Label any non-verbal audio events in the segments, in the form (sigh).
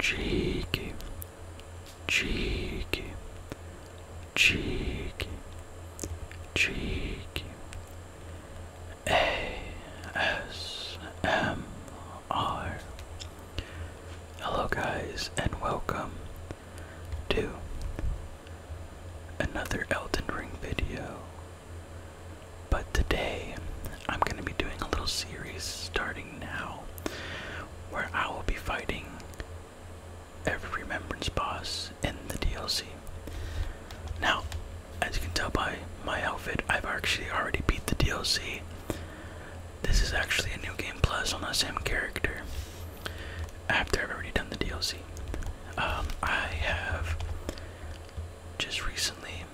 cheeky, cheeky, cheeky, cheeky. ASMR. Hello, guys, and welcome to another Elden Ring video. But today I'm going to be doing a little series starting now where I will be fighting every Remembrance boss in the DLC. Now, as you can tell by my outfit, I've actually already beat the DLC. This is actually a new game plus on the same character after I've already done the DLC. Um, I have just recently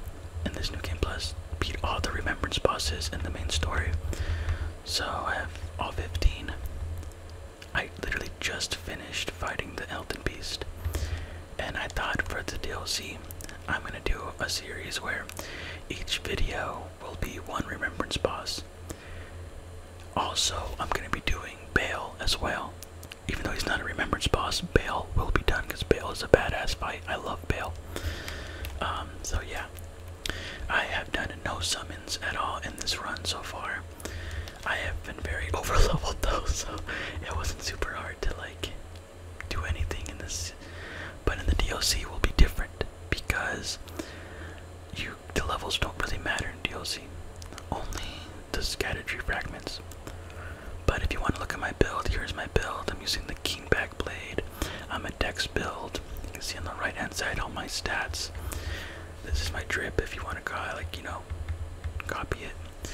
in this new game plus beat all the remembrance bosses in the main story. So I have all 15. I literally just finished fighting the Elden Beast. And I thought for the DLC, I'm gonna do a series where each video will be one remembrance boss. Also, I'm gonna be doing Bale as well. Even though he's not a remembrance boss, Bale will be done because Bale is a badass fight. I love Bale. Um, so yeah, I have done no summons at all in this run so far. I have been very (laughs) over leveled though, so it wasn't super hard to like do anything in this. But in the DLC will be different because you the levels don't really matter in DLC. Only the scattered tree fragments. But if you want to look at my build, here's my build. I'm using the king Blade. I'm a Dex build. You can see on the right hand side all my stats. This is my drip if you want to copy, like, you know, copy it.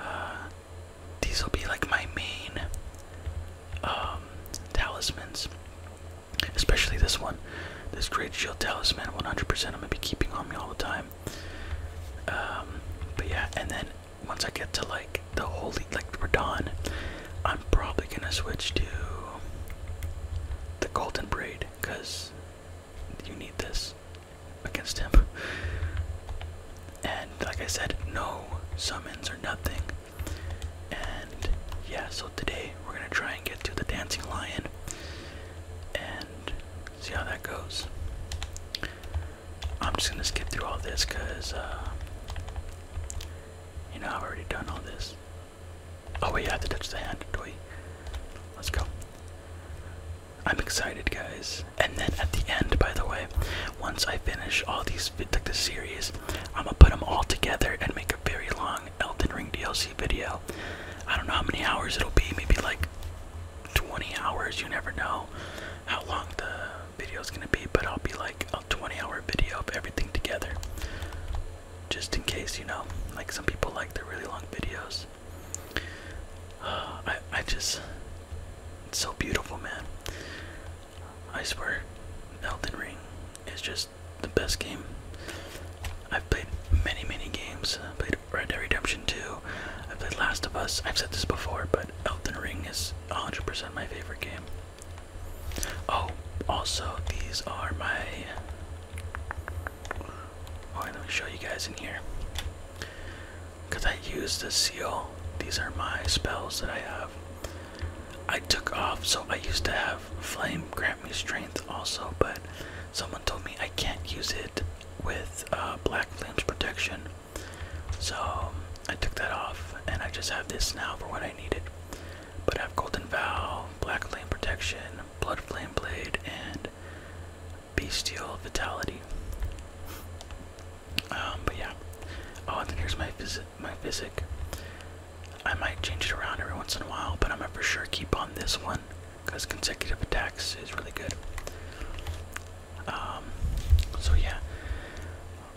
Uh, these will be like my main um, talismans, especially this one. This Great Shield Talisman, 100% I'm going to be keeping on me all the time. Um, but yeah, and then once I get to like the holy like we're done, I'm probably gonna switch to the golden braid because you need this against him. (laughs) And like I said, no summons or nothing. And yeah, so today we're gonna try and get to the dancing lion and see how that goes. I'm just gonna skip through all this because uh, you know, I've already done all this. Oh wait, I have to touch the hand, do we? Let's go. I'm excited, guys. And then at the end, by the way, once I finish all these like the series, I'm gonna put them all together and make a very long Elton Ring DLC video. I don't know how many hours it'll be. Maybe like 20 hours. You never know how long the video is gonna be, but I'll be like a 20 hour video of everything together. Just in case, you know, like some people like the really long videos. Uh, (sighs) I, I just, it's so beautiful, man. I swear, Elden Ring is just the best game. I've played many, many games. I played Red Dead Redemption 2. I played Last of Us. I've said this before, but Elden Ring is 100% my favorite game. Oh, also these are my. Oh, I'm show you guys in here. Cause I used the seal. These are my spells that I have. I took off, so I used to have flame grant me strength also, but someone told me I can't use it with uh, black flames protection. So I took that off, and I just have this now for when I needed. But have Golden Vow, Black Flame Protection, Blood Flame Blade, and Bestial Vitality. Um, but yeah. Oh, and then here's my physic. I might change it around every once in a while, but I'm gonna for sure keep on this one because consecutive attacks is really good. Um, so yeah,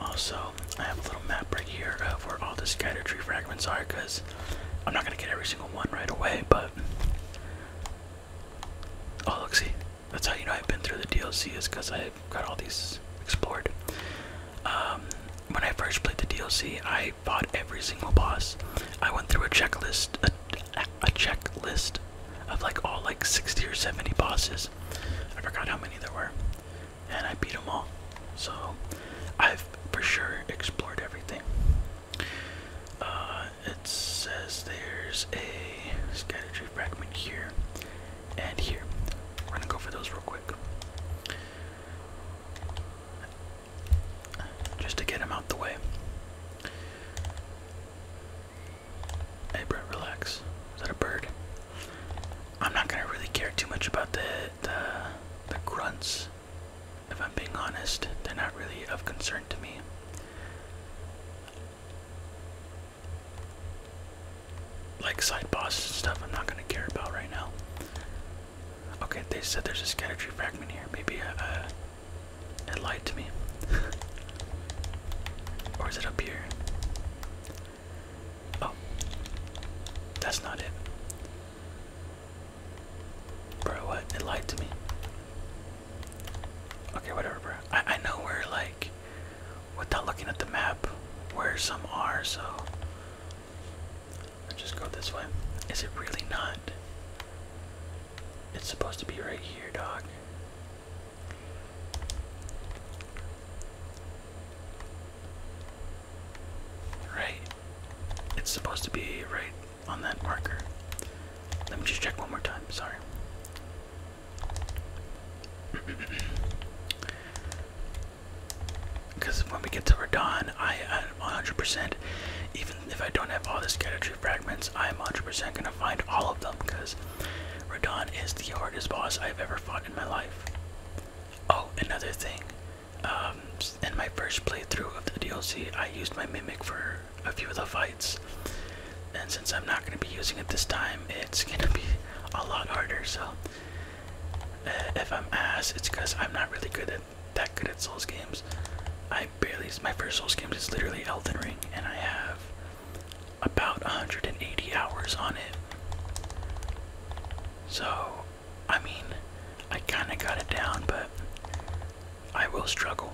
also, I have a little map right here of where all the scatter tree fragments are because I'm not going to get every single one right away, but. Oh, look, see, that's how you know I've been through the DLC is because I got all these explored. Um, when I first played the DLC, I fought every single boss. I went through a checklist, a checklist of like all like 60 or 70 bosses. I forgot how many there were and I beat them all. So I've for sure explored everything. Uh, it says there's a scattered tree fragment here and here. We're gonna go for those real quick. Just to get him out the way. Hey Brett, relax. Is that a bird? I'm not gonna really care too much about the the grunts. If I'm being honest, they're not really of concern to me. Like side bosses and stuff, I'm not gonna care about right now. Okay, they said there's a scatter tree fragment here. Maybe uh, uh, it lied to me. (laughs) or is it up here? Oh, that's not it. Bro, what? It lied to me. Okay, whatever, bro. I, I know where, like, without looking at the map, where some are, so. i just go this way. Is it really not? It's supposed to be right here, dog. Right. It's supposed to be right on that marker. Let me just check one more time. Sorry. Because (clears throat) when we get to Radon, I am 100%, even if I don't have all the scatter tree fragments, I am 100% gonna find all of them because Radon is the hardest boss I've ever fought in my life. Oh, another thing. Um, in my first playthrough of the DLC, I used my Mimic for a few of the fights. And since I'm not going to be using it this time, it's going to be a lot harder. So, uh, if I'm ass, it's because I'm not really good at that good at Souls games. I barely. My first Souls game is literally Elden Ring, and I have about 180 hours on it. So, I mean, I kind of got it down, but I will struggle.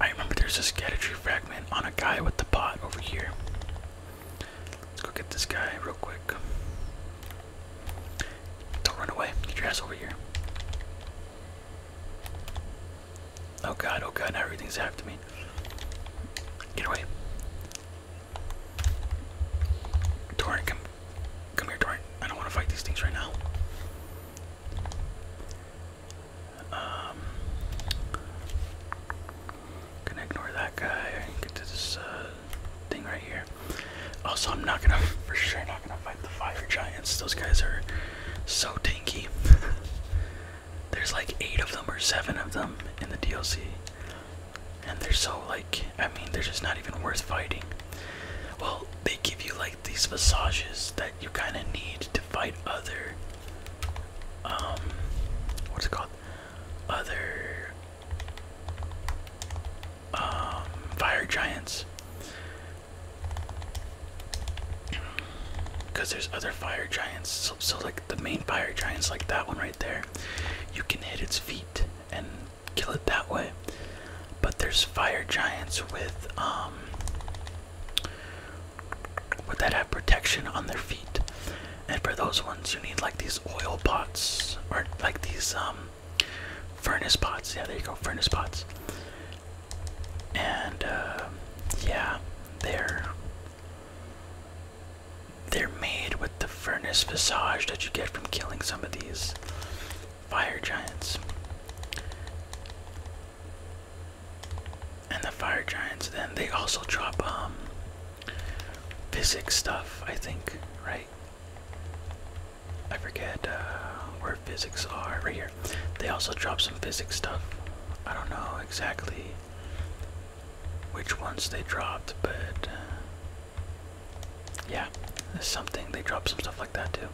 I remember there's a scatter fragment on a guy with the pot over here. Let's go get this guy real quick. Don't run away. Get your ass over here. Oh god, oh god, now everything's after me. Get away. Torrent, come, come here, Torrent. I don't want to fight these things right now. Um, going ignore that guy. Get to this uh, thing right here. Also, I'm not gonna, (laughs) for sure, not gonna fight the fire giants. Those guys are so tanky. (laughs) There's like eight of them or seven of them in the DLC. And they're so like, I mean, they're just not even worth fighting. Well, they give you like these massages that you kind of need to fight other, um, what's it called? Other, um, fire giants. Because there's other fire giants, so, so like the main fire giants, like that one right there, you can hit its feet and kill it that way. But there's fire giants with um with that have protection on their feet. And for those ones you need like these oil pots or like these um furnace pots. Yeah, there you go, furnace pots. And uh, yeah, there. They're made with the furnace visage that you get from killing some of these fire giants. And the fire giants then they also drop um, physics stuff, I think, right? I forget uh, where physics are. Right here. They also drop some physics stuff. I don't know exactly which ones they dropped, but uh, yeah, there's something. They dropped some stuff like that too.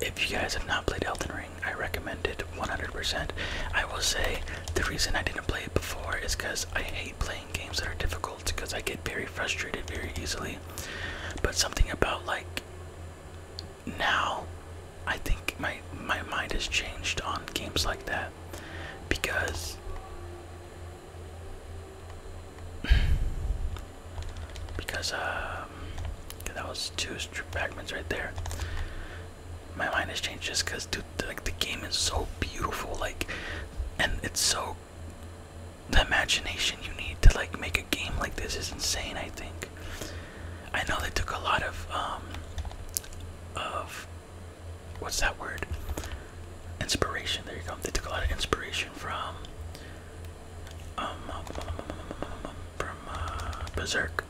If you guys have not played Elton Ring, I recommend it 100%. I will say the reason I didn't play it before is because I hate playing games that are difficult because I get very frustrated very easily. But something about like now I think my my mind has changed on games like that because (sighs) because um that was two fragments right there. My mind has changed just because dude like the game is so beautiful like and it's so the imagination you need to like make a game like this is insane I think I know they took a lot of um, of what's that word? Inspiration. There you go. They took a lot of inspiration from um, from uh, Berserk.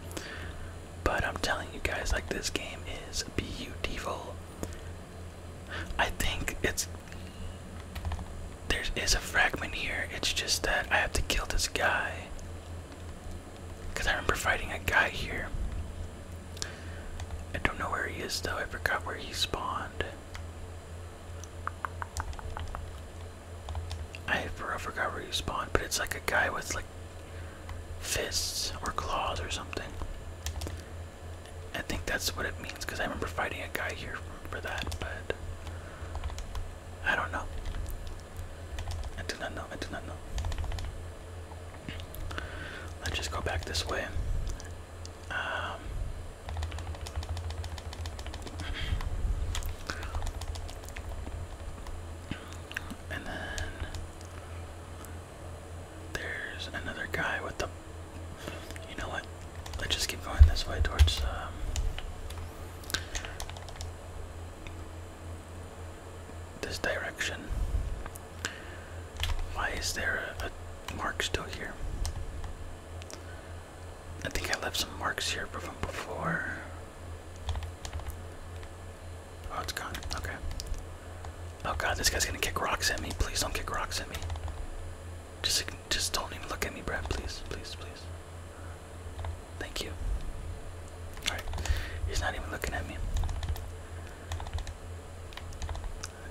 But I'm telling you guys, like this game is beautiful. I think it's there is a fragment here. It's just that I have to kill this guy. Because I remember fighting a guy here. I don't know where he is though, I forgot where he spawned. I forgot where he spawned, but it's like a guy with like fists or claws or something. I think that's what it means because I remember fighting a guy here for that, but I don't know. I do not know. I do not know. Let's just go back this way. Um, and then there's another guy with the. You know what? Let's just keep going this way towards. Um, this direction. Why is there a, mark still here? I think I left some marks here from before. Oh, it's gone. Okay. Oh god, this guy's gonna kick rocks at me. Please don't kick rocks at me. Just, just don't even look at me, Brad. Please, please, please. Thank you. Alright. He's not even looking at me.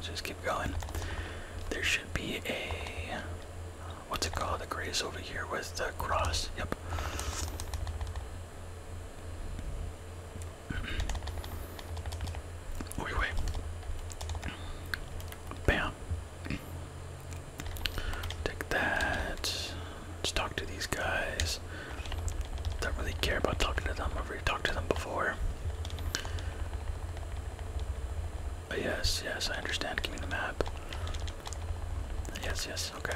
just keep going. There should be a what's it called? The grace over here with the cross. Yep. Wait, wait. Bam. Take that. Let's talk to these guys. Don't really care about talking to them. I've already talked to them before. yes, yes, I understand. Give me the map. Yes, yes, okay.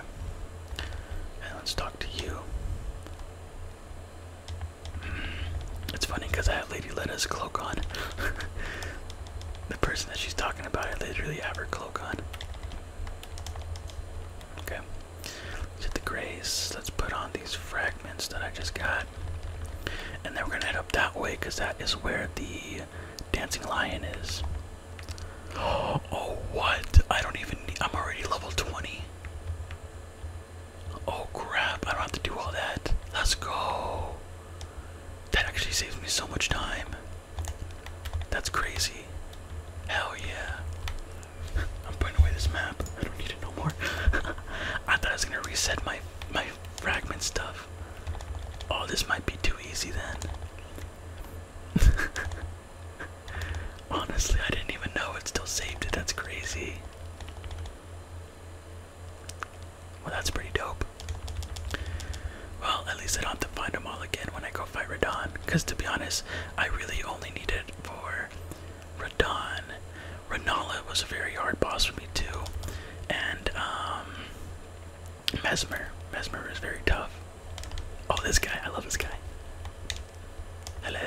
And let's talk to you. It's funny because I have Lady Letta's cloak on. (laughs) the person that she's talking about, I literally have her cloak on. Okay. Let's the grays. Let's put on these fragments that I just got. And then we're gonna head up that way because that is where the dancing lion is. Oh, (gasps) oh what? I don't even need I'm already level 20. Oh crap, I don't have to do all that. Let's go. That actually saves me so much time. That's crazy. Hell yeah. (laughs) I'm putting away this map. I don't need it no more. (laughs) I thought I was gonna reset my my fragment stuff. Oh, this might be too easy then. (laughs) Honestly, I didn't even know it still saved it. That's crazy. Well, that's pretty dope. Well, at least I don't have to find them all again when I go fight Radon. Because to be honest, I really only need it for Radon. Renala was a very hard boss for me too. And um, Mesmer. Mesmer is very tough. Oh this guy, I love this guy. Hello.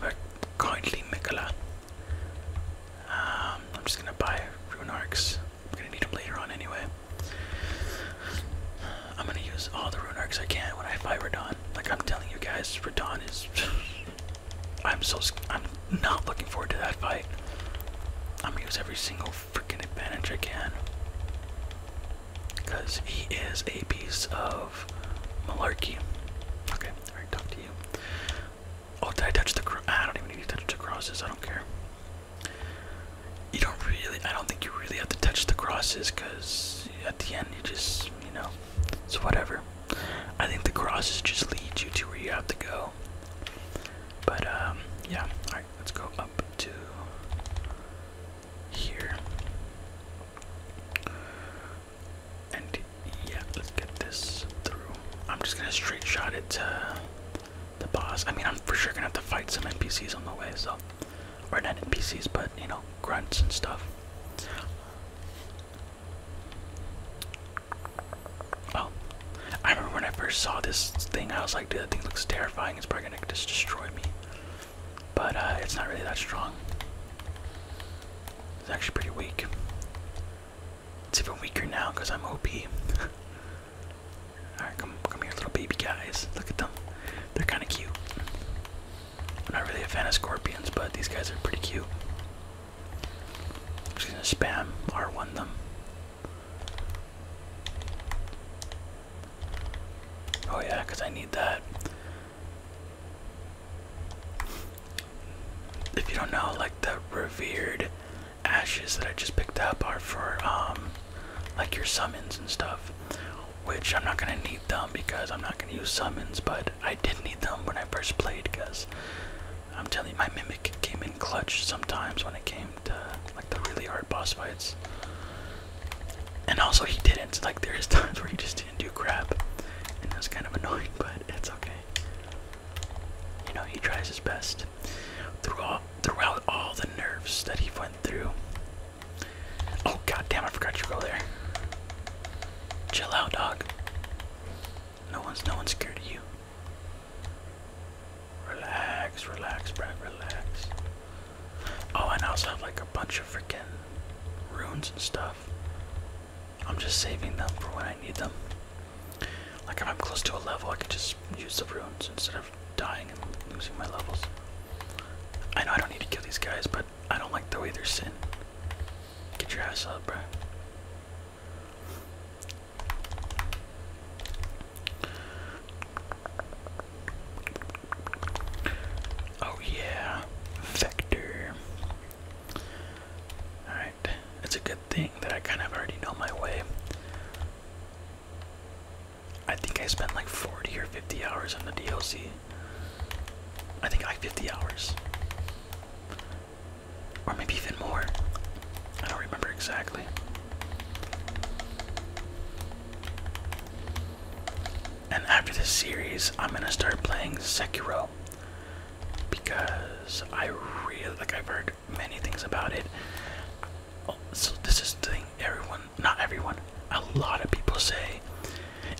We're currently Mikola. Um I'm just gonna buy Rune Runarks. I'm gonna need them later on anyway. I'm gonna use all the rune arcs I can when I fight Radon. Like I'm telling you guys, Radon is. I'm so. I'm not looking forward to that fight. I'm gonna use every single freaking advantage I can. Because he is a piece of malarkey. Okay, alright, talk to you. Oh, did touch the. I don't even need to touch the crosses, I don't care you don't really, I don't think you really have to touch the crosses because at the end you just, you know, it's whatever. I think the crosses just lead you to where you have to go. But, um, yeah, alright, let's go up to here. And yeah, let's get this through. I'm just gonna straight shot it. Uh, the boss. I mean, I'm for sure gonna have to fight some NPCs on the way, so. Or not NPCs, but, you know, grunts and stuff. Oh, I remember when I first saw this thing, I was like, dude, that thing looks terrifying. It's probably gonna just destroy me. But uh, it's not really that strong. It's actually pretty weak. It's even weaker now because I'm OP. (laughs) come here, little baby guys. Look at them. They're kinda cute. I'm not really a fan of scorpions, but these guys are pretty cute. I'm just gonna spam R1 them. Oh yeah, I need that. If you don't know, like the revered ashes that I just picked up are for um like your summons and stuff. Which I'm not gonna need them because I'm not gonna use summons, but I did need them when I first played because I'm telling you my mimic came in clutch sometimes when it came to like the really hard boss fights. And also he didn't. Like there's (laughs) times where he just didn't do crap. And that's kind of annoying, (laughs) but it's okay. You know, he tries his best. Throughout, throughout all the nerves that he went through. Oh god damn, I forgot you go there. Chill out, dog. No one's no one's scared of you. Relax, relax, Brad, relax. Oh, and I also have like a bunch of freaking runes and stuff. I'm just saving them for when I need them. Like if I'm close to a level, I can just use the runes instead dying and losing my levels. I know I don't need to kill these guys, but I don't like the way they're sitting. Get your ass up, bruh. Oh yeah, Vector. Alright, it's a good thing that I kind of already know my way. I think I spent like 40 or 50 hours on the DLC. I think like 50 hours. Or maybe even more. I don't remember exactly. And after this series, I'm gonna start playing Sekiro because I really like I've heard many things about it. Oh, so this is the thing everyone, not everyone, a lot of people say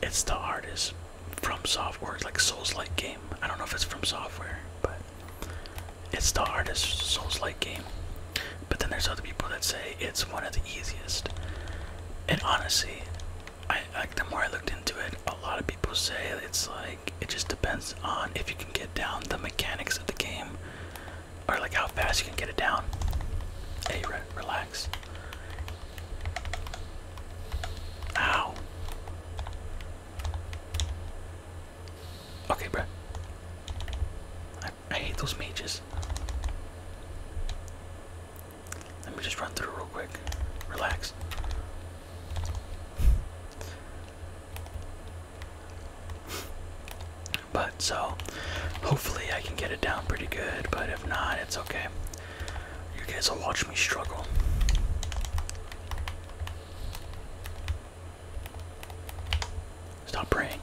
it's the hardest from software, like Souls-like game. I don't know if it's from software, but it's the hardest Souls-like game. But then there's other people that say it's one of the easiest. And honestly, I like the more I looked into it, a lot of people say it's like it just depends on if you can get down the mechanics of the game or like how fast you can get it down. Hey, relax. Ow. Okay, bruh. I, I hate those mages. Let me just run through real quick. Relax but so hopefully I can get it down pretty good, but if not, it's okay. You guys will watch me struggle. Stop praying.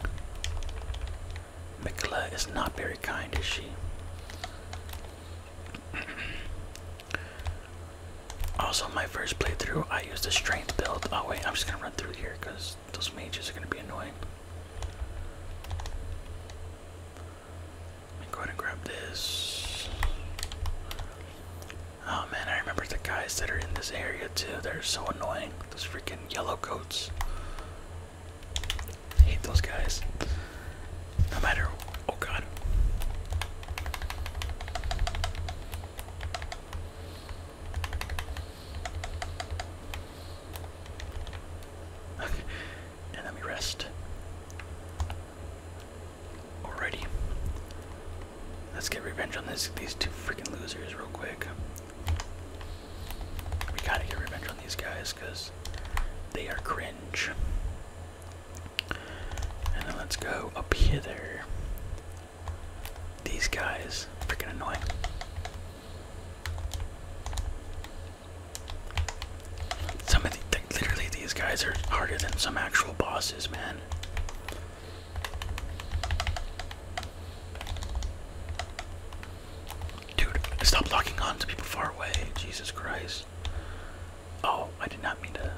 Mikla is not very kind, is she? (clears throat) also, my first playthrough, I used the strength build. Oh, wait, I'm just gonna run through here because those mages are gonna be annoying. Let me go ahead and grab this. Oh man, I remember the guys that are in this area too. They're so annoying. Those freaking yellow coats. hate those guys. No matter. Oh god. Okay, and let me rest. Alrighty. Let's get revenge on this these two freaking losers real quick. We gotta get revenge on these guys because they are cringe. And then let's go up hither. These guys, freaking annoying. Some of the, literally these guys are harder than some actual bosses, man. Dude, stop locking on to people far away. Jesus Christ. Oh, I did not mean to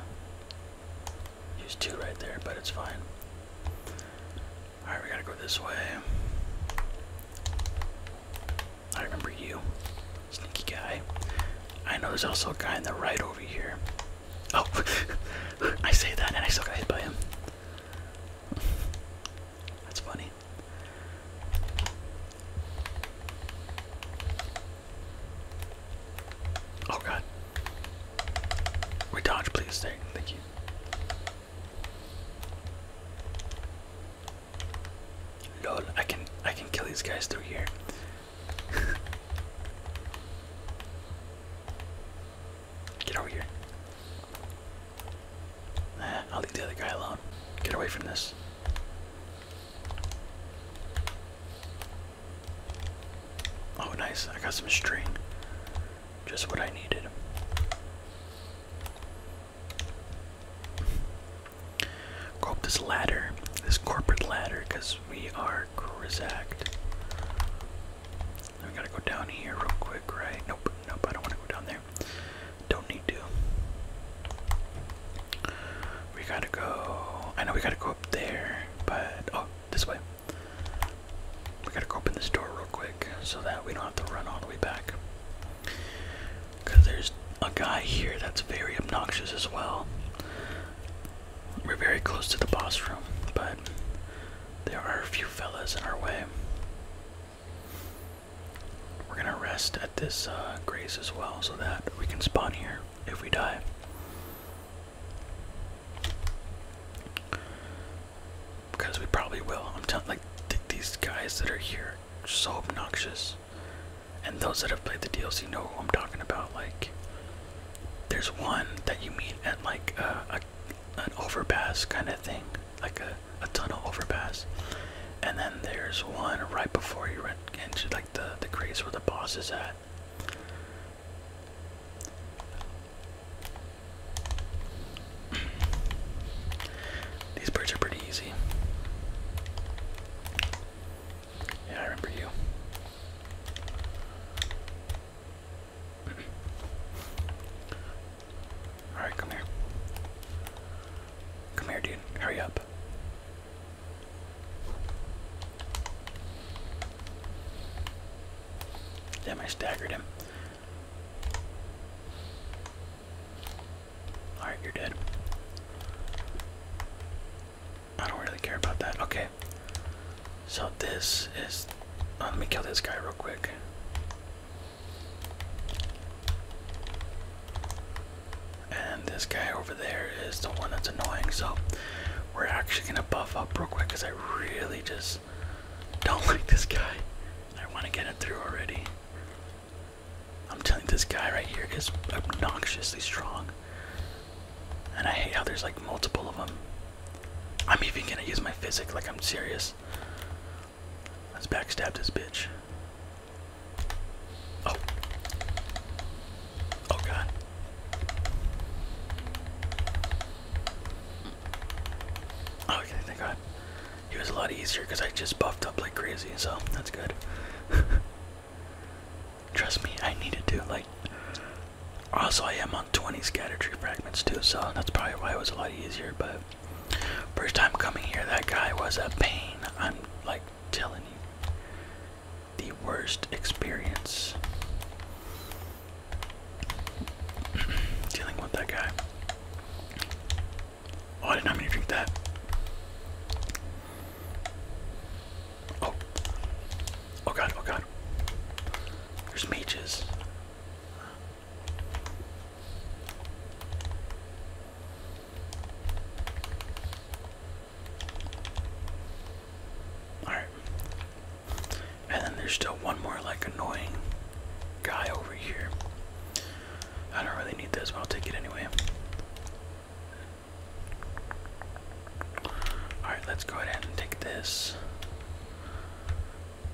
use two right there, but it's fine. Alright, we gotta go this way. I remember you. Sneaky guy. I know there's also a guy in the right over here. Oh! (laughs) I say that and I still got hit by him. That's funny. Oh god. We dodge, please. Thank you. Lol, I can I can kill these guys through here. (laughs) Get over here. I'll leave the other guy alone. Get away from this. Oh, nice. I got some string. Just what I needed. Go up this ladder, this corporate ladder, because we are Krizacked. We gotta go down here real quick, right? Nope, nope, I don't wanna go down there. Don't need to. We gotta go. I know we gotta go up there, but. Oh, this way. We gotta go open this door real quick so that we don't have to run all the way back. there's a guy here that's very obnoxious as well. We're very close to the boss room, but there are a few fellas in our way. We're gonna rest at this uh, grace as well so that we can spawn here if we die because we probably will. I'm telling, like these guys that are here, are so obnoxious, and those that have played the DLC know who I'm talking about. Like, there's one that you meet at like a, an overpass kind of thing, like a tunnel overpass, and then there's one right before you run into like the the grace where the boss is at. These birds are pretty easy. Yeah, I remember you. (clears throat) Alright, come here. Come here, dude. Hurry up. Damn, I staggered him. Alright, you're dead. I don't really care about that. Okay. So this is. Uh, let me kill this guy real quick. And this guy over there is the one that's annoying. So we're actually gonna buff up real quick because I really just don't like this guy. I want to get it through already. I'm telling you, this guy right here is obnoxiously strong. And I hate how there's like multiple of them. I'm even gonna use my physic, like I'm serious. Let's backstab this bitch. Oh. Oh god. Oh, okay, thank God. It was a lot easier because I just buffed up like crazy, so that's good. (laughs) Trust me, I needed to. Like, also I am on 20 scatter tree fragments too, so that's probably why it was a lot easier. But first time coming here, that guy was a pain. I'm like telling you, the worst experience. (clears throat) Dealing with that guy. Oh, I didn't know how many drink that. Oh. Oh god, oh god. There's mages. Alright. And then there's still one more like annoying guy over here. I don't really need this, but I'll take it anyway. Alright, let's go ahead and take this.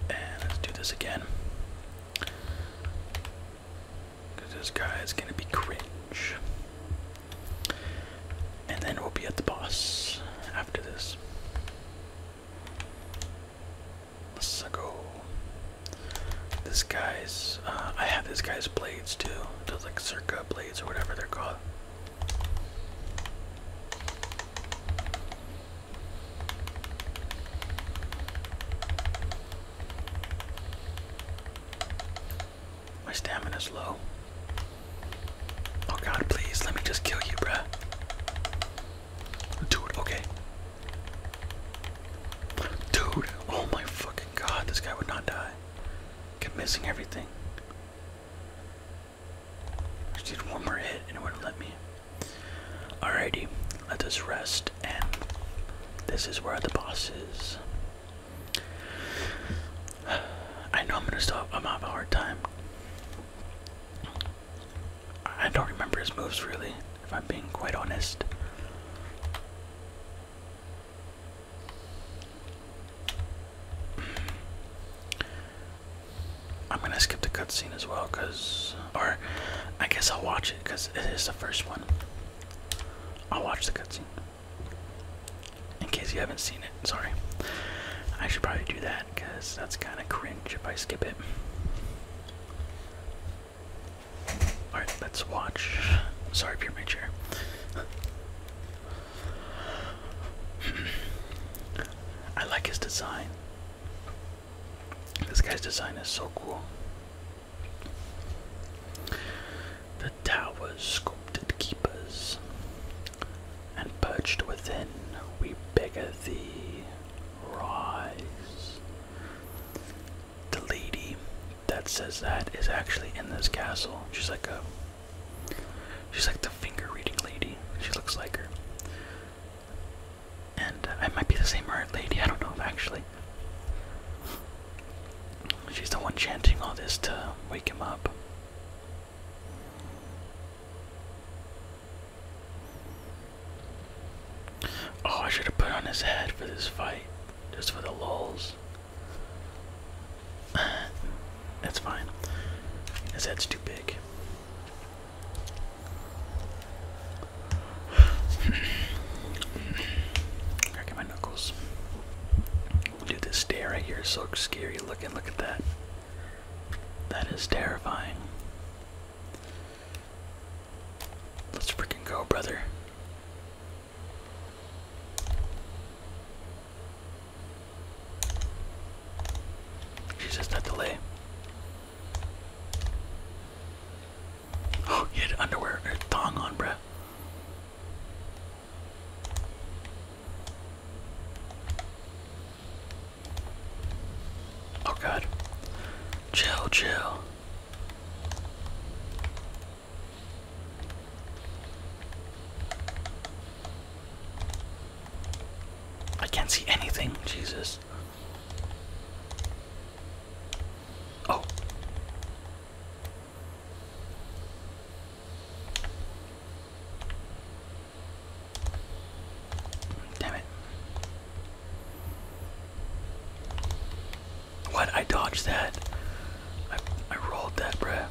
And let's do this again. this guy is going to be cringe. And then we'll be at the boss after this. Let's go. This guy's, uh, I have this guy's blades too. Those like circa blades or whatever they're called. My stamina's low. Oh god, please, let me just kill you, bruh. Dude, okay. Dude, oh my fucking god, this guy would not die. Kept missing everything. just need one more hit and it would let me. Alrighty, let us rest and this is where the boss is. (sighs) I know I'm gonna stop I'm gonna have a hard time. I don't remember his moves really, if I'm being quite honest. Hmm. I'm gonna skip the cutscene as well, cause, or I guess I'll watch it, cause it is the first one. I'll watch the cutscene. In case you haven't seen it, sorry. I should probably do that because that's kind of cringe if I skip it. Alright, let's watch. Sorry, Pure Major. I like his design. This guy's design is so cool. The towers sculpted keepers, and perched within we beggar thee, rise. The lady that says that is actually in this castle. She's like a she's like the finger reading lady. She looks like her. And I might be the same art lady, I don't know actually. She's the one chanting all this to wake him up. Oh, I should have put on his head for this fight. Just for the lulls. (sighs) That's fine. His head's too big. (sighs) Cracking my knuckles. Dude, this stair right here is so scary looking. Look at that. That is terrifying. Let's freaking go, brother. Jesus, that delay. Oh, he had underwear thong on, bruh. Oh god. Chill, chill. I can't see anything, Jesus. Oh. Damn it. What? I dodged that. I, I rolled that, bruh.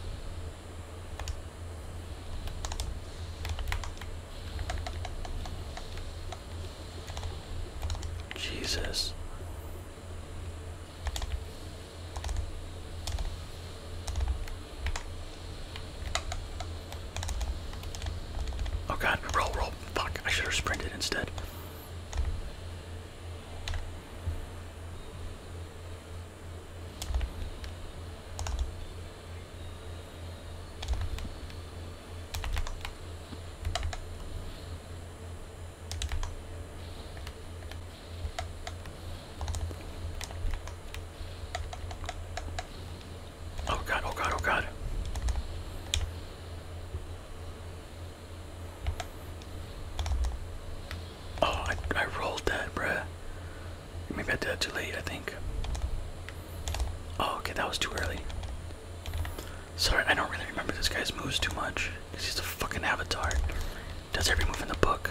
Jesus. Oh god, roll, roll. Fuck, I should have sprinted instead. Oh god, oh god, oh god. Oh, I, I rolled that, bruh. Maybe I did that too late, I think. Oh, okay, that was too early. Sorry, I don't really remember this guy's moves too much. Because he's a fucking avatar. Does every move in the book.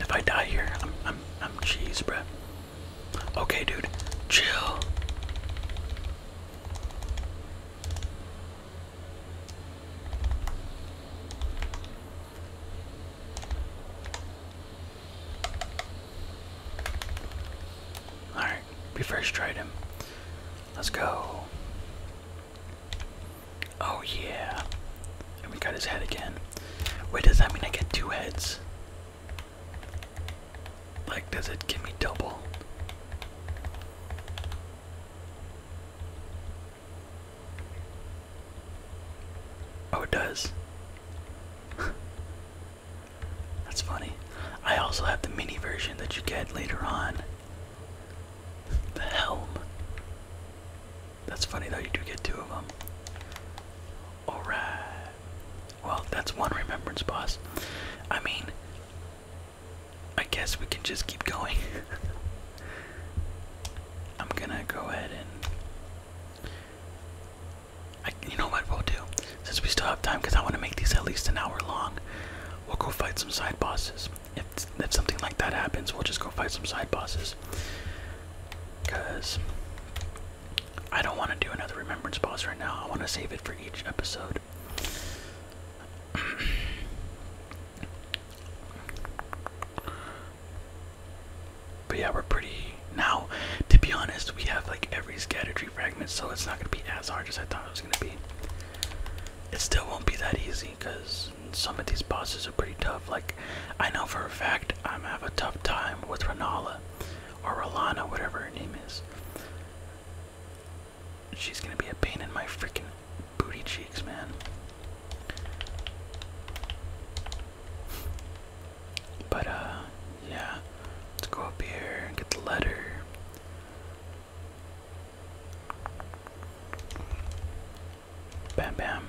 If I die here, I'm I'm I'm cheese, bruh. Okay, dude. Chill. Alright, we first tried him. Let's go. Oh yeah. And we got his head again. Wait, does that mean I get two heads? Like, does it give me double? Oh, it does. (laughs) That's funny. I also have the mini version that you get later on. The helm. That's funny though, you do get two of them. Alright. Well, that's one remembrance boss. I mean, I guess we can just keep going. (laughs) I'm gonna go ahead and. you know what we'll do? Since we still have time, because I want to make these at least an hour long, we'll go fight some side bosses. If, if something like that happens, we'll just go fight some side bosses. Because I don't want to do another remembrance pause right now. I want to save it for each episode. (clears throat) but yeah, we're pretty. Now, to be honest, we have like every scatter tree fragment, so it's not going to be as hard as I thought it was going to be. It still won't be that easy because some of these bosses are pretty tough. Like, I know for a fact I'm gonna have a tough time with Renala or Rolana, whatever her name is. She's gonna be a pain in my freaking booty cheeks, man. But uh, yeah, let's go up here get the letter. Bam bam.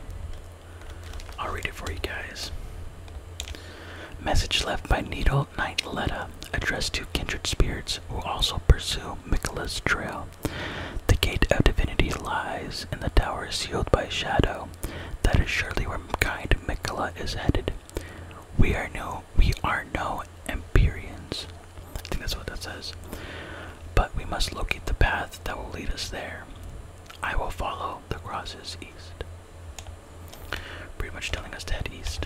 I'll read it for you guys. Message left by Needle Knight Letta, addressed to kindred spirits who also pursue Mikola's trail. The gate of divinity lies, and the tower is sealed by shadow. That is surely where kind Mikola is headed. We are no we are no Empyreans. I think that's what that says. But we must locate the path that will lead us there. I will follow the crosses east. Pretty much telling us to head east.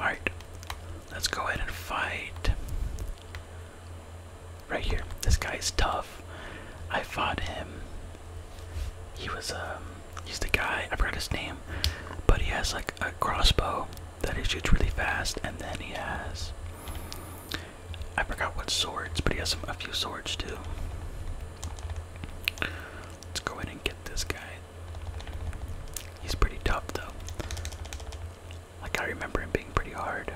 Alright, let's go ahead and fight. Right here. This guy is tough. I fought him. He was, um, he's the guy, I forgot his name, but he has like a crossbow that he shoots really fast, and then he has I forgot what swords, but he has a few swords too. Let's go in and get this guy. He's pretty tough though. Like I remember him being pretty hard.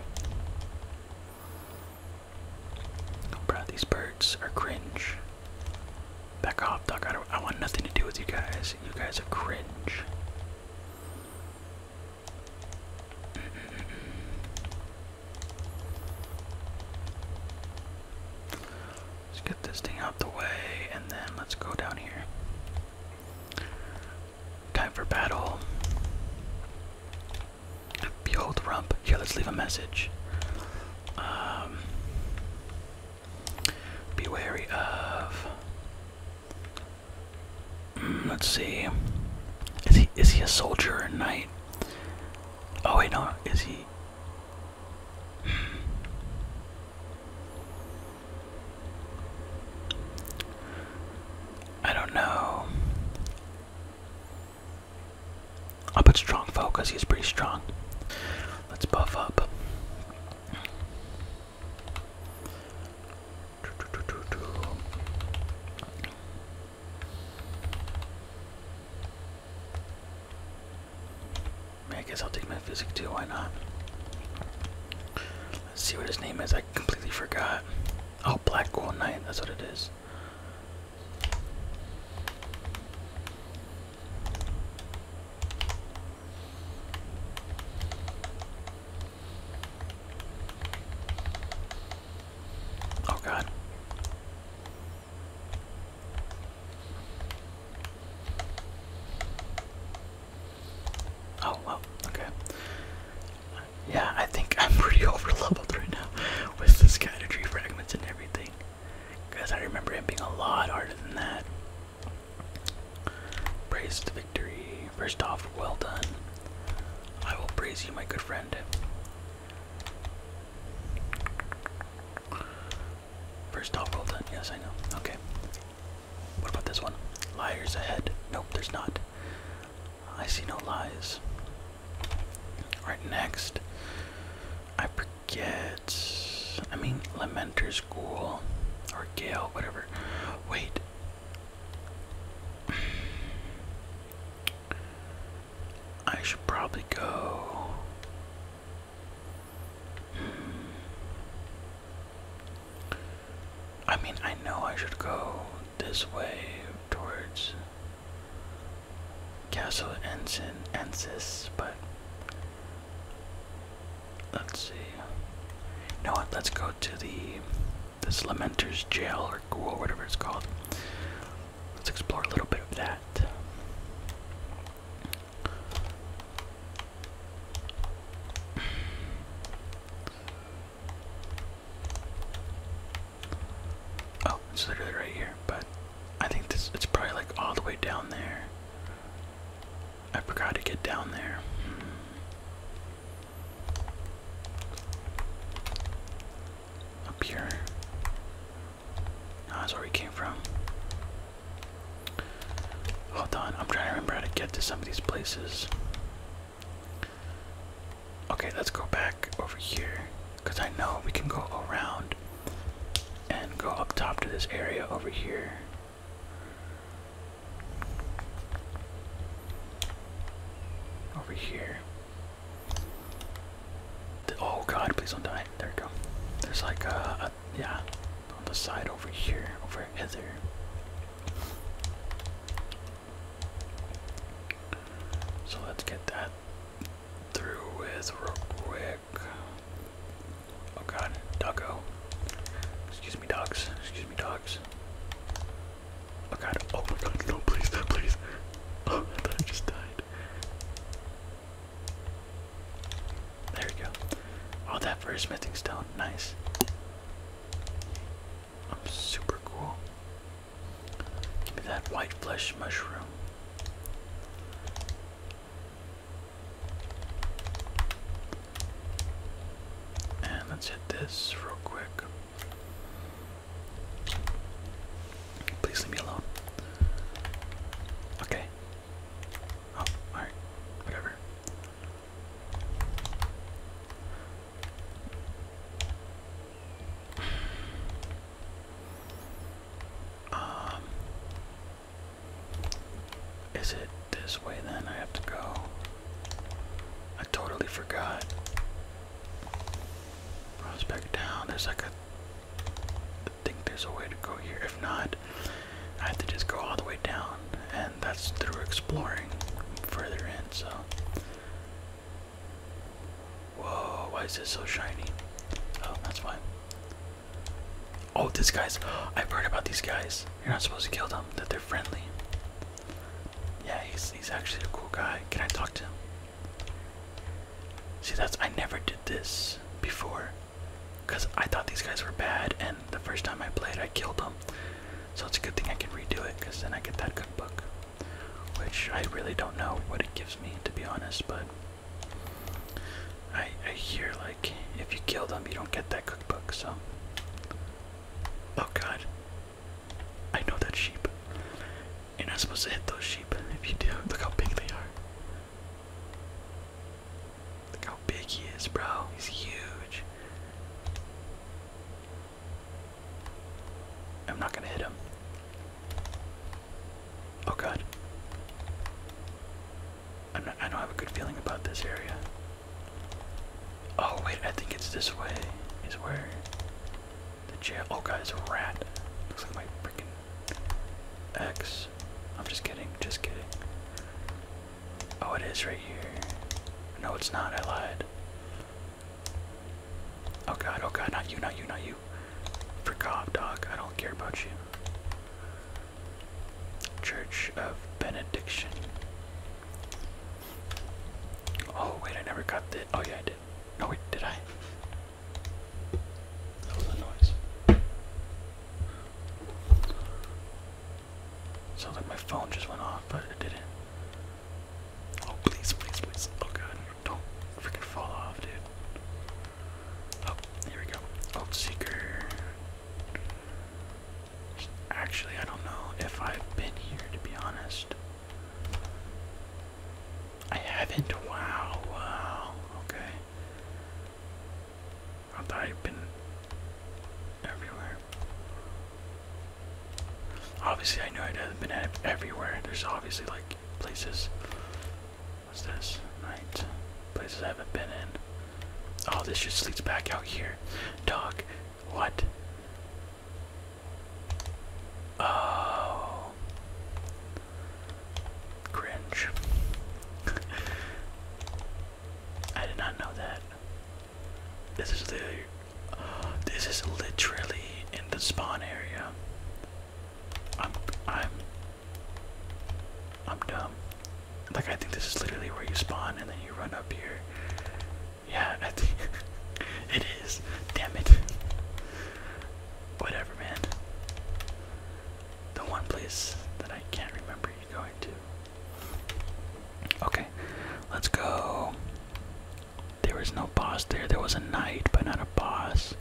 Oh, these birds are cringe. Back off, dog. I want nothing to do with you guys. You guys are cringe. Let's get this thing out the way and then let's go down here. Time for battle. Behold Rump. Here, let's leave a message. Um, be wary of Mm, let's see. Is he is he a soldier or a knight? Oh wait, no. Is he? I don't know. I'll put strong foe because he's pretty strong. Let's buff up. I, I guess I'll take my physics too, why not? Let's see what his name is, I completely forgot. Oh, Black Gold night. that's what it is. Oh god. Oh well, okay. Yeah, I think I'm pretty (laughs) over leveled right now with this kind of tree fragments and everything. Because I remember it being a lot harder than that. Braced victory. First off, well done. I will praise you, my good friend. First off, well done. Yes, I know. Okay. What about this one? Liars ahead. Nope, there's not. I see no lies. Alright, next. I forget. I mean, Lamenter's Ghoul. Or Gale, whatever. Wait, I should probably go. I mean, I know I should go this way towards Castle Ensign Ensis, but let's see. You know what? Let's go to the this Lamenter's Jail or whatever it's called. Let's explore a little bit of that. Oh, it's literally right here, but I think this it's probably like all the way down there. I forgot to get down there. Hmm. Up here. Oh, that's where we came from. Hold on, I'm trying to remember how to get to some of these places. Okay, let's go back over here. Because I know we can go around and go up top to this area over here. Over here. Oh god, please don't die. There we go. There's like a, yeah, on the side over here, over hither. So let's get that through with real quick. Oh god, doggo. Excuse me, dogs. Excuse me, dogs. Oh god, oh my god, no, please, no, please. Oh, I just died. There we go. Oh, that for a smithing stone, nice. I'm um, super cool. Give me that white flesh mushroom. And let's hit this real quick. Please leave me alone. Okay. Oh, alright. Whatever. Um Is it this way then? I have to go. I totally forgot. Runs down. There's like a. I think there's a way to go here. If not, I have to just go all the way down, and that's through exploring further in. So. Whoa! Why is this so shiny? Oh, that's why. Oh, this guy's. I've heard about these guys. You're not supposed to kill them. That they're friendly. Yeah, he's he's actually a cool guy. Can I talk to him? See, that's I never did this before, cause I thought these guys were bad, and the first time I played, I killed them. So it's a good thing I can redo it, cause then I get that cookbook, which I really don't know what it gives me to be honest. But I I hear like if you kill them, you don't get that cookbook. So. Oh God, I know that sheep. You're not supposed to hit those sheep. If you do, (laughs) look how big they are. Look how big he is, bro. He's huge. I'm not gonna hit him. Oh god. i I don't have a good feeling about this area. Oh wait, I think it's this way. Is where the jail. Oh, God, it's a rat. Looks like my freaking ex. I'm just kidding. Just kidding. Oh, it is right here. No, it's not. I lied. Oh, God. Oh, God. Not you. Not you. Not you. For God, dog. I don't care about you. Church of Benediction. Oh, wait. I never got the. Oh, yeah, I did. No, wait, did I? That was a noise. Sounds like my phone just went off, but it didn't. Oh, please, please, please. Oh, God. Don't freaking fall off, dude. Oh, here we go. Old Seeker. Actually, I don't know if I've been here, to be honest. I haven't. Wow. Okay. I thought been everywhere. Obviously, I know I haven't been everywhere. There's obviously like places. What's this? Night. Places I haven't been in. Oh, this just leads back out here. Dog. What? Oh. Cringe. I did not know that. This is the. This is literally in the spawn area. I'm. I'm. I'm dumb. Like I think this is literally where you spawn and then you run up here yeah, I think (laughs) it is. Damn it. Whatever, man. The one place that I can't remember you going to. Okay, let's go. There was no boss there. There was a knight, but not a boss.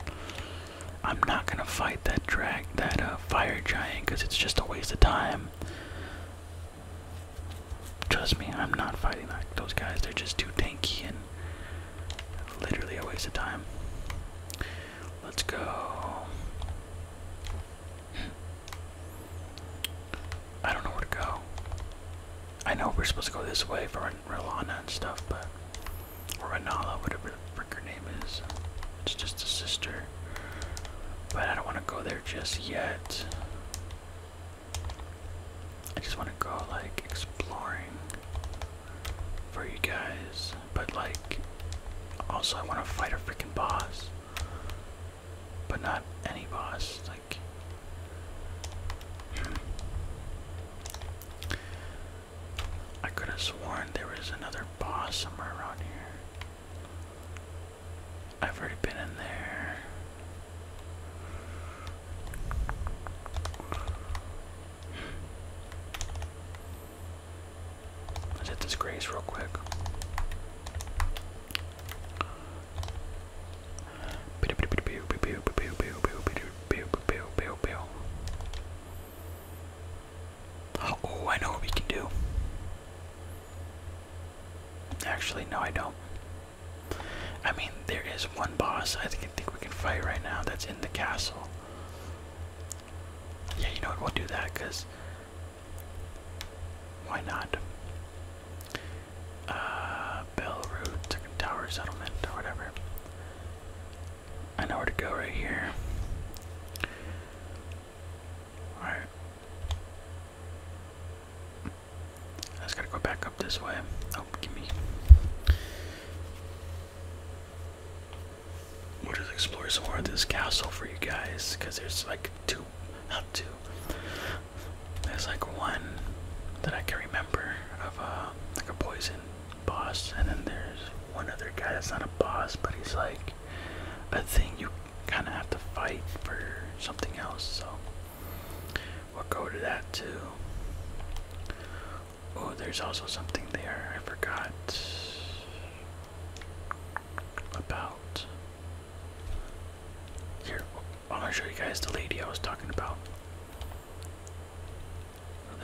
I'm not gonna fight that drag, that uh, fire giant, because it's just a waste of time. Trust me, I'm not fighting like those guys. They're just too tanky and literally a waste of time. Let's go. I don't know where to go. I know we're supposed to go this way for Rilana and stuff, but Rilana, Renala, whatever the frick her name is. It's just a sister. But I don't want to go there just yet. I just want to go like exploring for you guys, but like also I want to fight a freaking boss, but not any boss. Like, hmm. I could have sworn there was another boss somewhere around here. I've already been in there. Let's hit this real quick. Oh, I know what we can do. Actually, no, I don't. I mean, there is one boss I think, we can fight right now that's in the castle. Yeah, you know what? We'll do that because why not? Uh, Bell Road, Second Tower Settlement, or whatever. I know where to go right here. Alright. I just gotta go back up this way. Oh, give me. We'll just explore some more of this castle for you guys, because there's like two, not two. There's like one that I can remember of a uh, like a poison boss, and then there's one other guy that's not a boss, but he's like a thing you kind of have to fight for something else. So We'll go to that too. Oh, there's also something there I forgot about. Here, I'm gonna show you guys the lady I was talking about.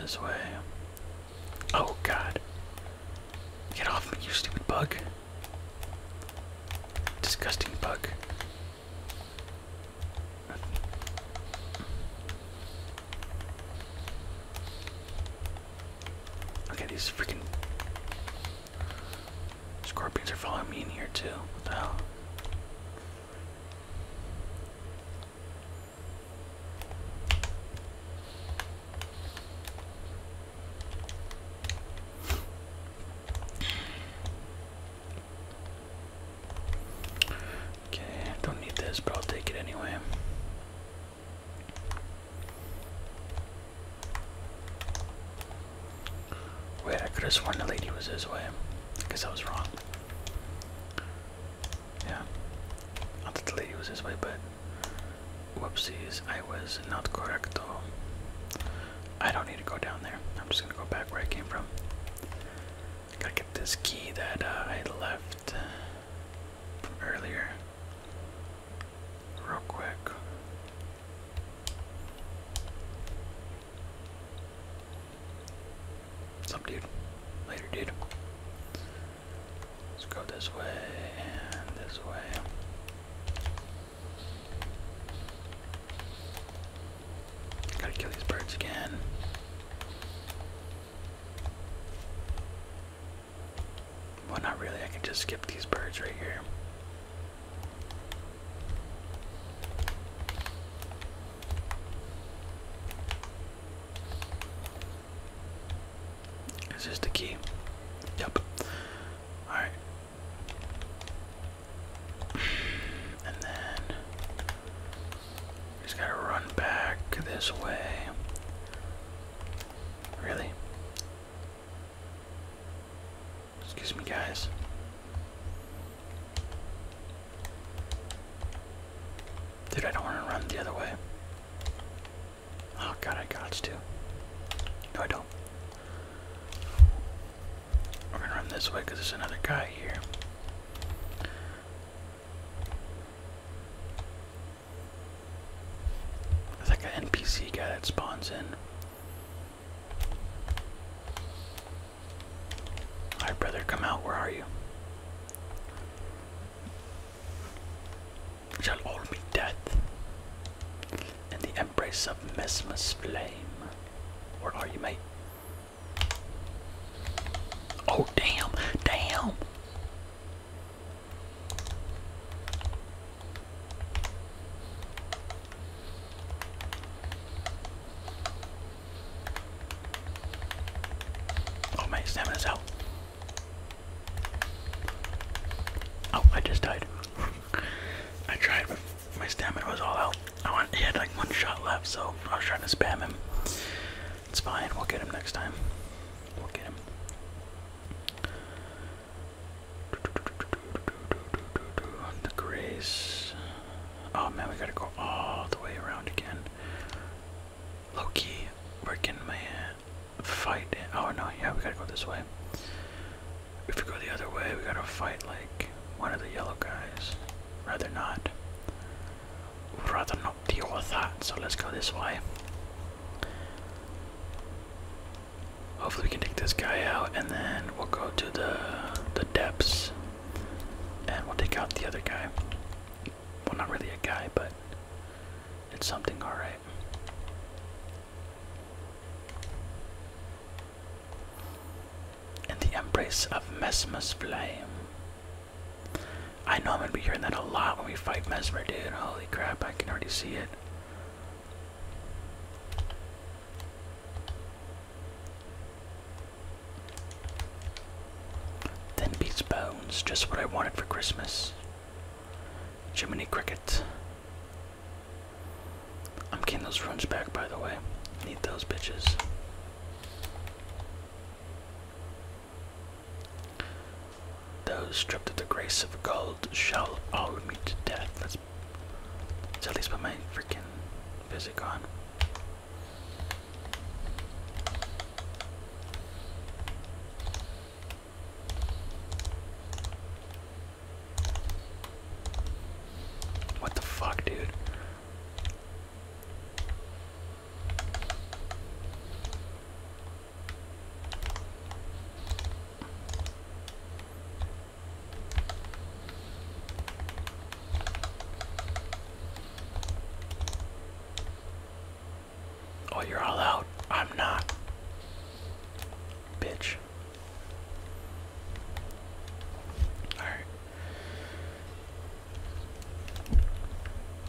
This way. Oh god. Get off me, you stupid bug. Disgusting bug. Okay, these freaking scorpions are following me in here too. What Okay, don't need this, but I'll take it anyway. Wait, I could have sworn the lady was this way. guess I was wrong. Yeah. I thought the lady was this way, but whoopsies, I was not correcto. I don't need to go down there. I'm just gonna go back where I came from. Gotta get this key that uh, I left uh, earlier. Real quick. What's up, dude? Later, dude. Let's go this way and this way. Gotta kill these birds again. Well, not really. I can just skip these birds right here. this the key? Yep. Alright. And then just gotta run back this way. Really? Excuse me, guys. Dude, I don't want to run the other way. Oh god, I got to. No, I don't. We're gonna run this way because there's another guy here. It's like an NPC guy that spawns in. Alright, brother, come out. Where are you? Shall all be death in the embrace of Mesmer's flame? Where are you, mate? Oh, damn, damn. Oh, my stamina's out. Oh, I just died. (laughs) I tried my stamina was all out. I had like one shot left, so I was trying to spam him. It's fine. We'll get him next time. We'll get him. The grace. Oh man, we gotta go all the way around again. Loki, where can my uh, fight? Oh no, yeah, we gotta go this way. If we go the other way, we gotta fight like one of the yellow guys. Rather not. Rather not deal with that, so let's go this way. Hopefully we can take this guy out and then we'll go to the the depths and we'll take out the other guy. Well not really a guy, but it's something alright in the embrace of Mesmer's flame. I know I'm gonna be hearing that a lot when we fight Mesmer, dude. Holy crap, I can already see it. Then beats bones, just what I wanted for Christmas. Jiminy Cricket. I'm getting those runs back, by the way. Need those bitches. Those stripped of the grace of gold shall all meet death. Let's, at least put my freaking physic on. What the fuck, dude? Oh, you're all out. I'm not. Bitch. Alright.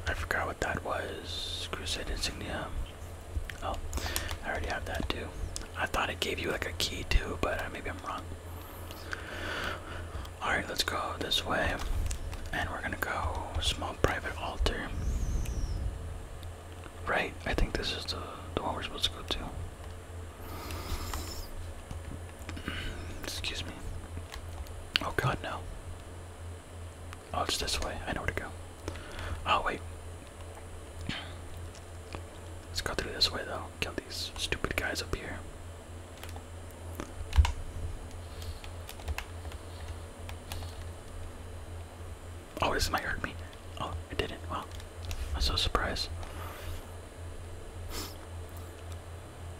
I forgot what that was. Crusade insignia. Oh, I already have that too. I thought it gave you like a key too, but maybe I'm wrong. Alright, let's go this way. And we're gonna go small private altar. Right, I think this is the, the one we're supposed to go to. Excuse me. Oh god, no. Oh, it's this way. I know where to go. Oh, wait. Let's go through this way, though. Kill these stupid guys up here. Oh, this might hurt me. Oh, I didn't. Well, I'm so surprised.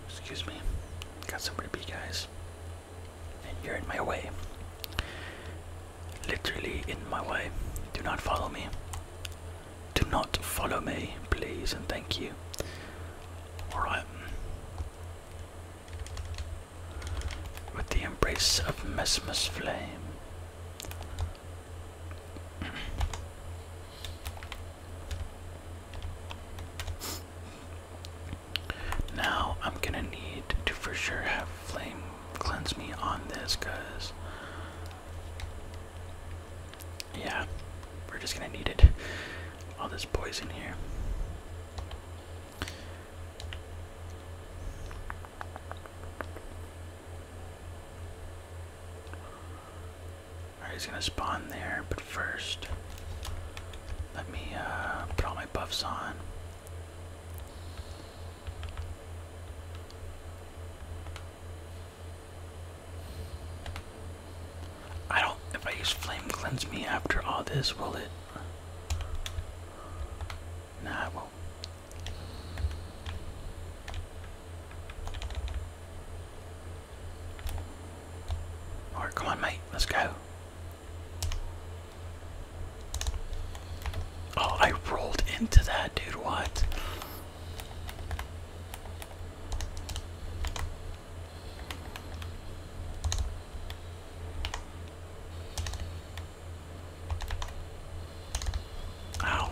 Excuse me. Got somewhere to be, guys. And you're in my way. Literally in my way. Do not follow me. Do not follow me, please, and thank you. Alright. With the embrace of Mesmer's flame. Now I'm gonna need to for sure have flame cleanse me on this yeah, we're just gonna need it. All this poison here he's gonna spawn there, but first, let me uh, put all my buffs on. I don't. If I use Flame Cleanse Me after all this, will it? Nah, won't. Alright, come on, mate. Let's go. Oh, I rolled into that, dude. What? Ow.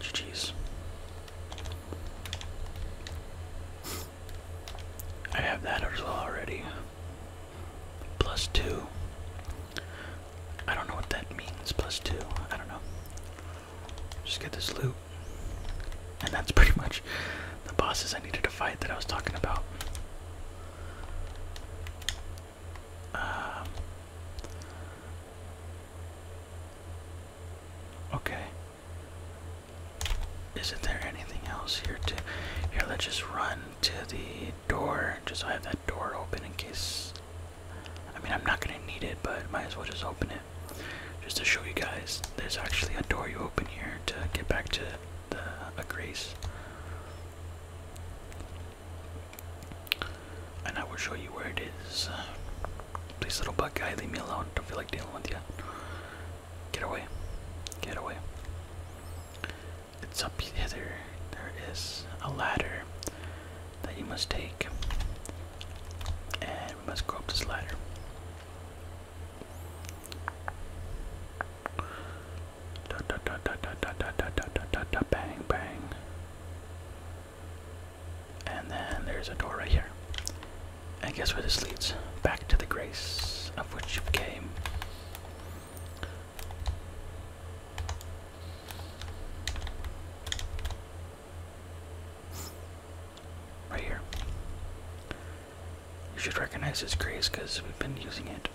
GG's. I have that as well already. Plus two. I don't know what that means, plus two. I don't know. Just get this loot. And that's pretty (laughs) much the bosses I needed to fight that I was talking about. Um, okay. Isn't there anything else here to here let's just run to the door just so I have that door open in case I mean I'm not gonna need it but might as well just open it just to show you guys there's actually a door you open here to get back to the a grace and I will show you where it is. Please, little bug guy, leave me alone. Don't feel like dealing with you. Get away. Get away. It's up here. There is a ladder that you must take. And we must go up this ladder. Da da da da da da da da da da da bang bang. And then there's a door right here. And guess where this leads? Back to the grace of which you came. Right here. You should recognize this grace because we've been using it.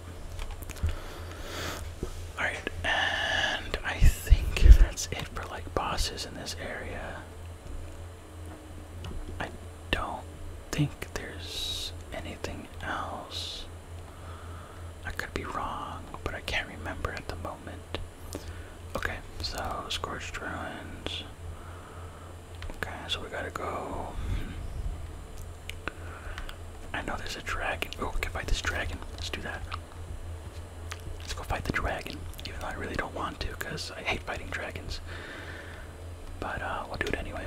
Alright, and I think that's it for like bosses in this area. I don't think there's anything else. I could be wrong, but I can't remember at the moment. Okay, so Scorched Ruins. Okay, so we gotta go. I know there's a dragon. Oh, we can fight this dragon. Let's do that. Let's go fight the dragon, even though I really don't want to because I hate fighting dragons. But uh, we'll do it anyway.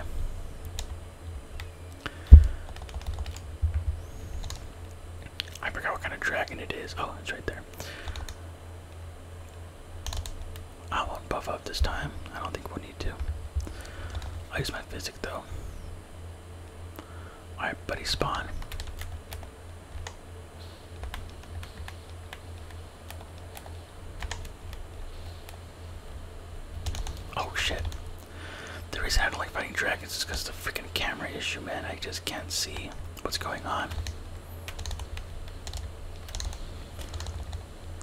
I forgot what kind of dragon it is. Oh, it's right there. I won't buff up this time. I don't think we'll need to. I'll use my physic though. Alright, buddy, spawn. Oh shit. The reason I don't like fighting dragons is because the freaking camera issue, man. I just can't see what's going on.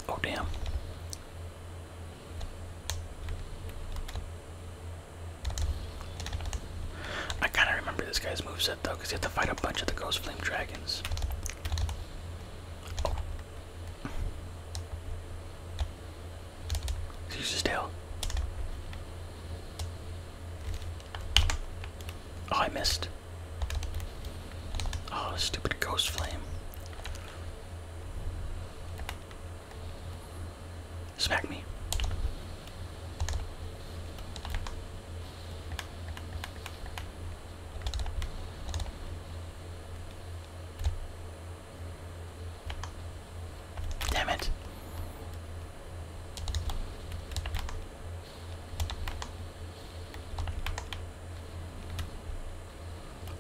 Oh, damn. I kind of remember this guy's moveset though, because you have to fight a bunch of the Ghost Flame Dragons. Oh. tail. Oh, I missed. Oh, stupid Ghost Flame. Smack me. Damn it.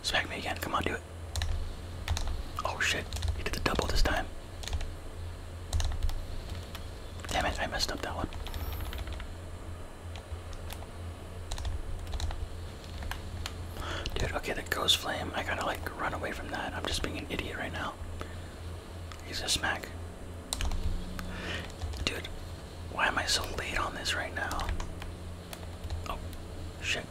Smack me again. Come on, do it. Oh shit. You did the double this time. Damn it, I messed up that one. Dude, okay, that ghost flame, I gotta like run away from that. I'm just being an idiot right now. He's a smack. Dude, why am I so late on this right now? Oh, shit.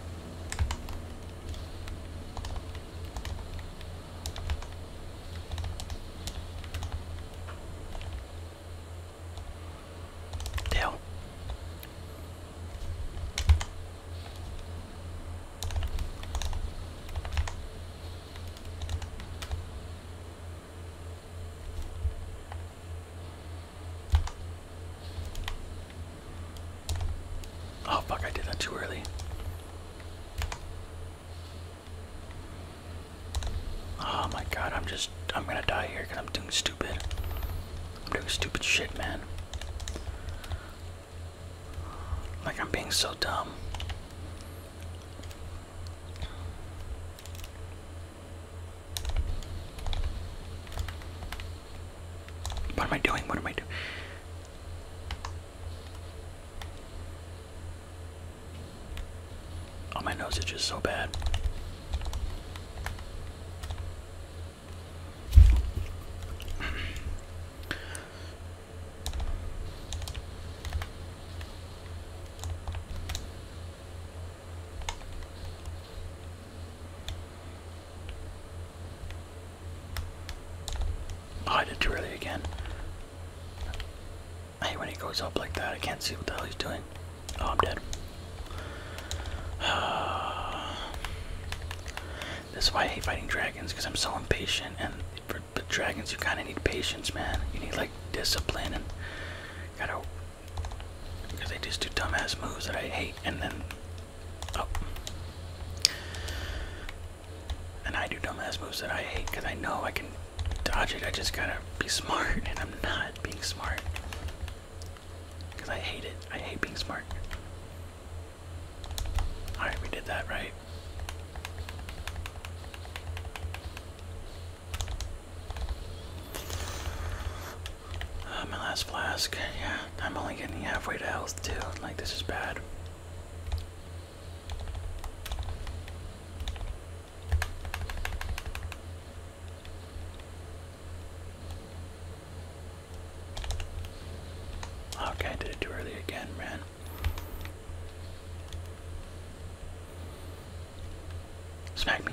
Deal. Oh fuck, I did that too early. Oh my god, I'm just, I'm gonna die here because I'm doing stupid. I'm doing stupid shit, man. Like, I'm being so dumb. What am I doing? What am I doing? Oh, my nose itches so bad. I did too again. I hate when he goes up like that. I can't see what the hell he's doing. Oh, I'm dead. (sighs) this is why I hate fighting dragons, because I'm so impatient. And for, for dragons, you kind of need patience, man. You need, like, discipline and gotta. Because they just do dumbass moves that I hate, and then. Oh. And I do dumbass moves that I hate because I know I can dodge it. I just gotta be smart, and I'm not being smart. Because I hate it. I hate being smart. Alright, we did that right. Uh, my last flask. Yeah, I'm only getting halfway to health, too. Like, this is bad. Okay, I did it too early again, man. Smack me.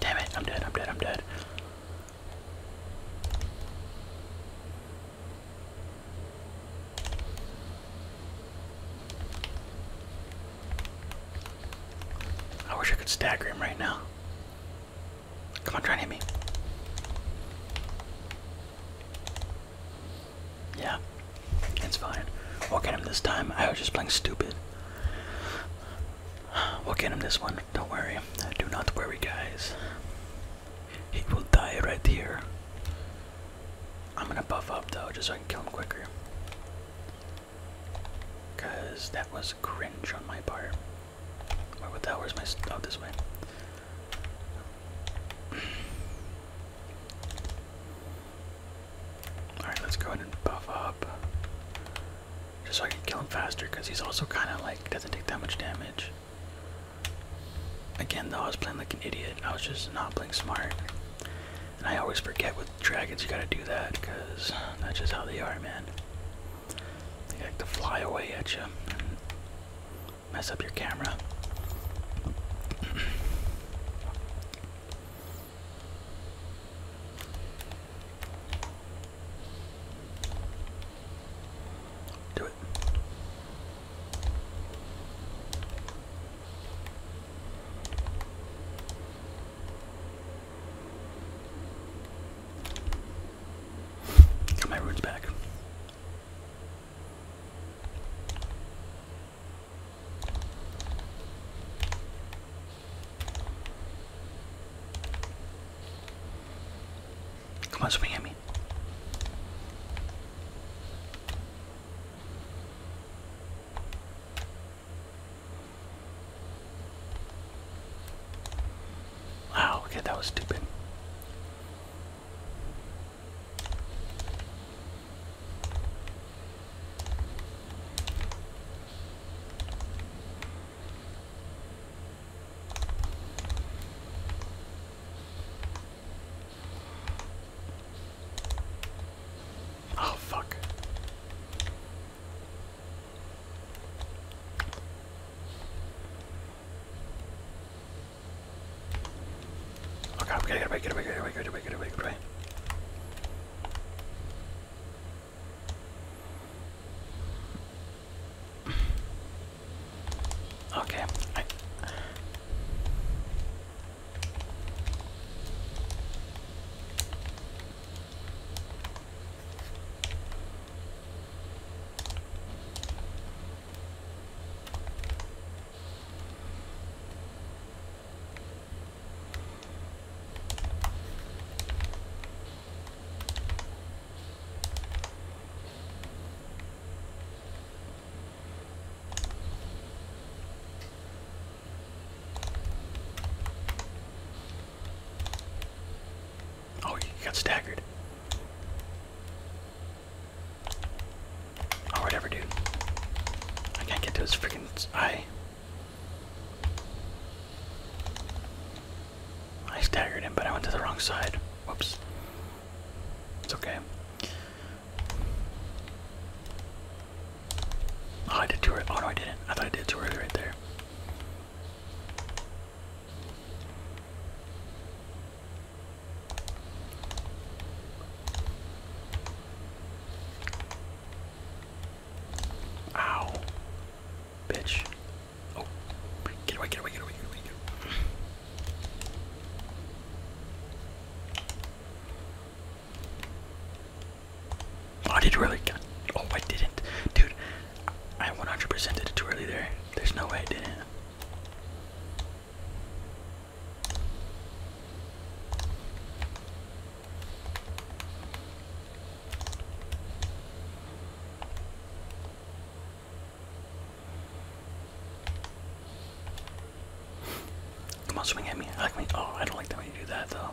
Damn it, I'm dead, I'm dead, I'm dead. I wish I could stagger him right now. Come on, try and hit me. Yeah, it's fine. We'll get him this time. I was just playing stupid. We'll get him this one. Don't worry. Do not worry, guys. He will die right here. I'm gonna buff up though, just so I can kill him quicker. Cause that was cringe on my part. Where what the hell? Where's my oh this way? Alright, let's go ahead and buff up. Just so I can kill him faster, because he's also kind of like, doesn't take that much damage. Again, though, I was playing like an idiot. I was just not playing smart. And I always forget with dragons, you gotta do that, because that's just how they are, man. They like to fly away at you and mess up your camera. (clears throat) Do it. Got my roots back. Come on, swing at me. Wow, okay, that was stupid. Oh, fuck. Oh god, we gotta get away, get away, get away, get away, get away, get away. Okay. Oh, he got staggered. Or oh, whatever, dude. I can't get to his freaking eye. I staggered him, but I went to the wrong side. Whoops. It's okay. Oh, I did too early. Oh, no, I didn't. I thought I did too early right there. Ow. Bitch. Oh. Get away, get away, get away, get away, get away. Oh, I did really good. Oh, I didn't. Dude, I 100% did it too early there. There's no way I didn't. Come on, swing at me. Like me. Oh, I don't like that when you do that though.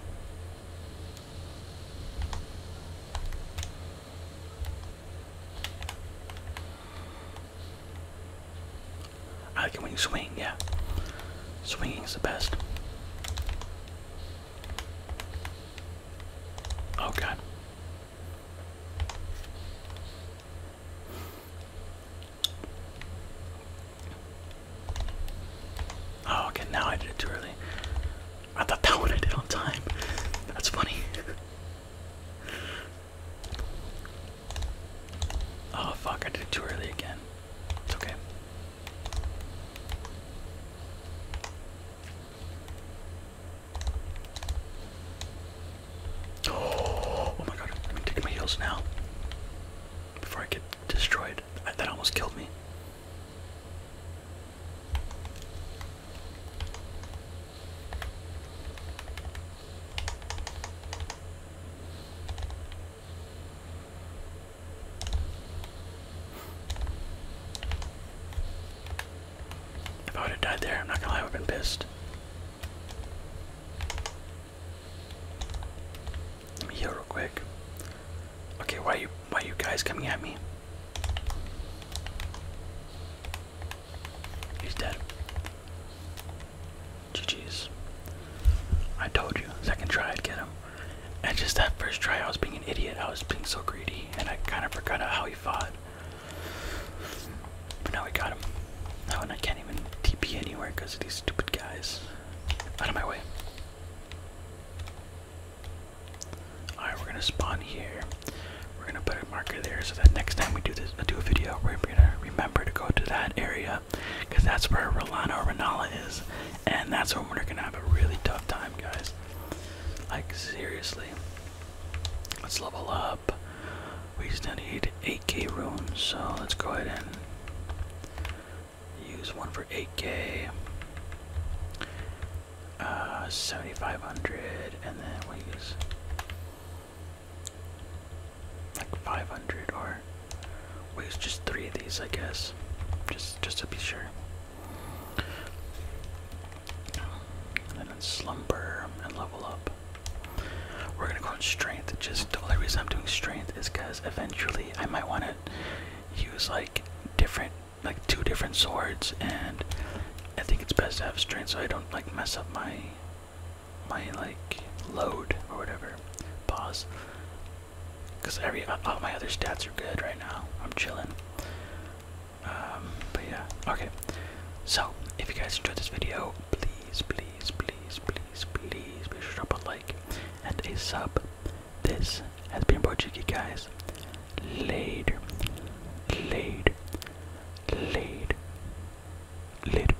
I like it when you swing, yeah. swinging is the best. Oh god. Oh, okay, now I did it too early. I thought that (laughs) one I did on time. That's funny. Oh fuck, I did it too early again. It's okay. (gasps) Oh, my god, I'm take my heels now. Before I get destroyed. That almost killed me. If I would have died there, I'm not gonna lie, I would have been pissed. Let me heal real quick. Okay, why are you why you guys coming at me? He's dead. GG's. I told you, second try I'd get him. And just that first try, I was being an idiot. I was being so greedy, and I kind of forgot how he fought. But now we got him. Now, and I can't even TP anywhere because of these stupid guys. Out of my way. Alright, we're gonna spawn here. We're gonna put a marker there so that next time we do this, do a video, we're gonna remember to go to that area because that's where Rolano Ranala is, and that's when we're gonna have a really tough time, guys. Like seriously. Let's level up. We still need 8k runes, so let's go ahead and use one for 8k. Uh, 7500, and then we use like 500 or wait, it's just three of these, I guess. Just just to be sure. And then slumber and level up. We're gonna go on strength. Just the only reason I'm doing strength is because eventually I might want to use like different, like two different swords, and I think it's best to have strength so I don't like mess up my my like load or whatever. Pause. Cause every uh, all my other stats are good right now. I'm chilling. Um, but yeah, okay. So if you guys enjoyed this video, please, please, please, please, please be sure to drop a like and a sub. This has been Bojiki guys. Later. Later. Later. Later.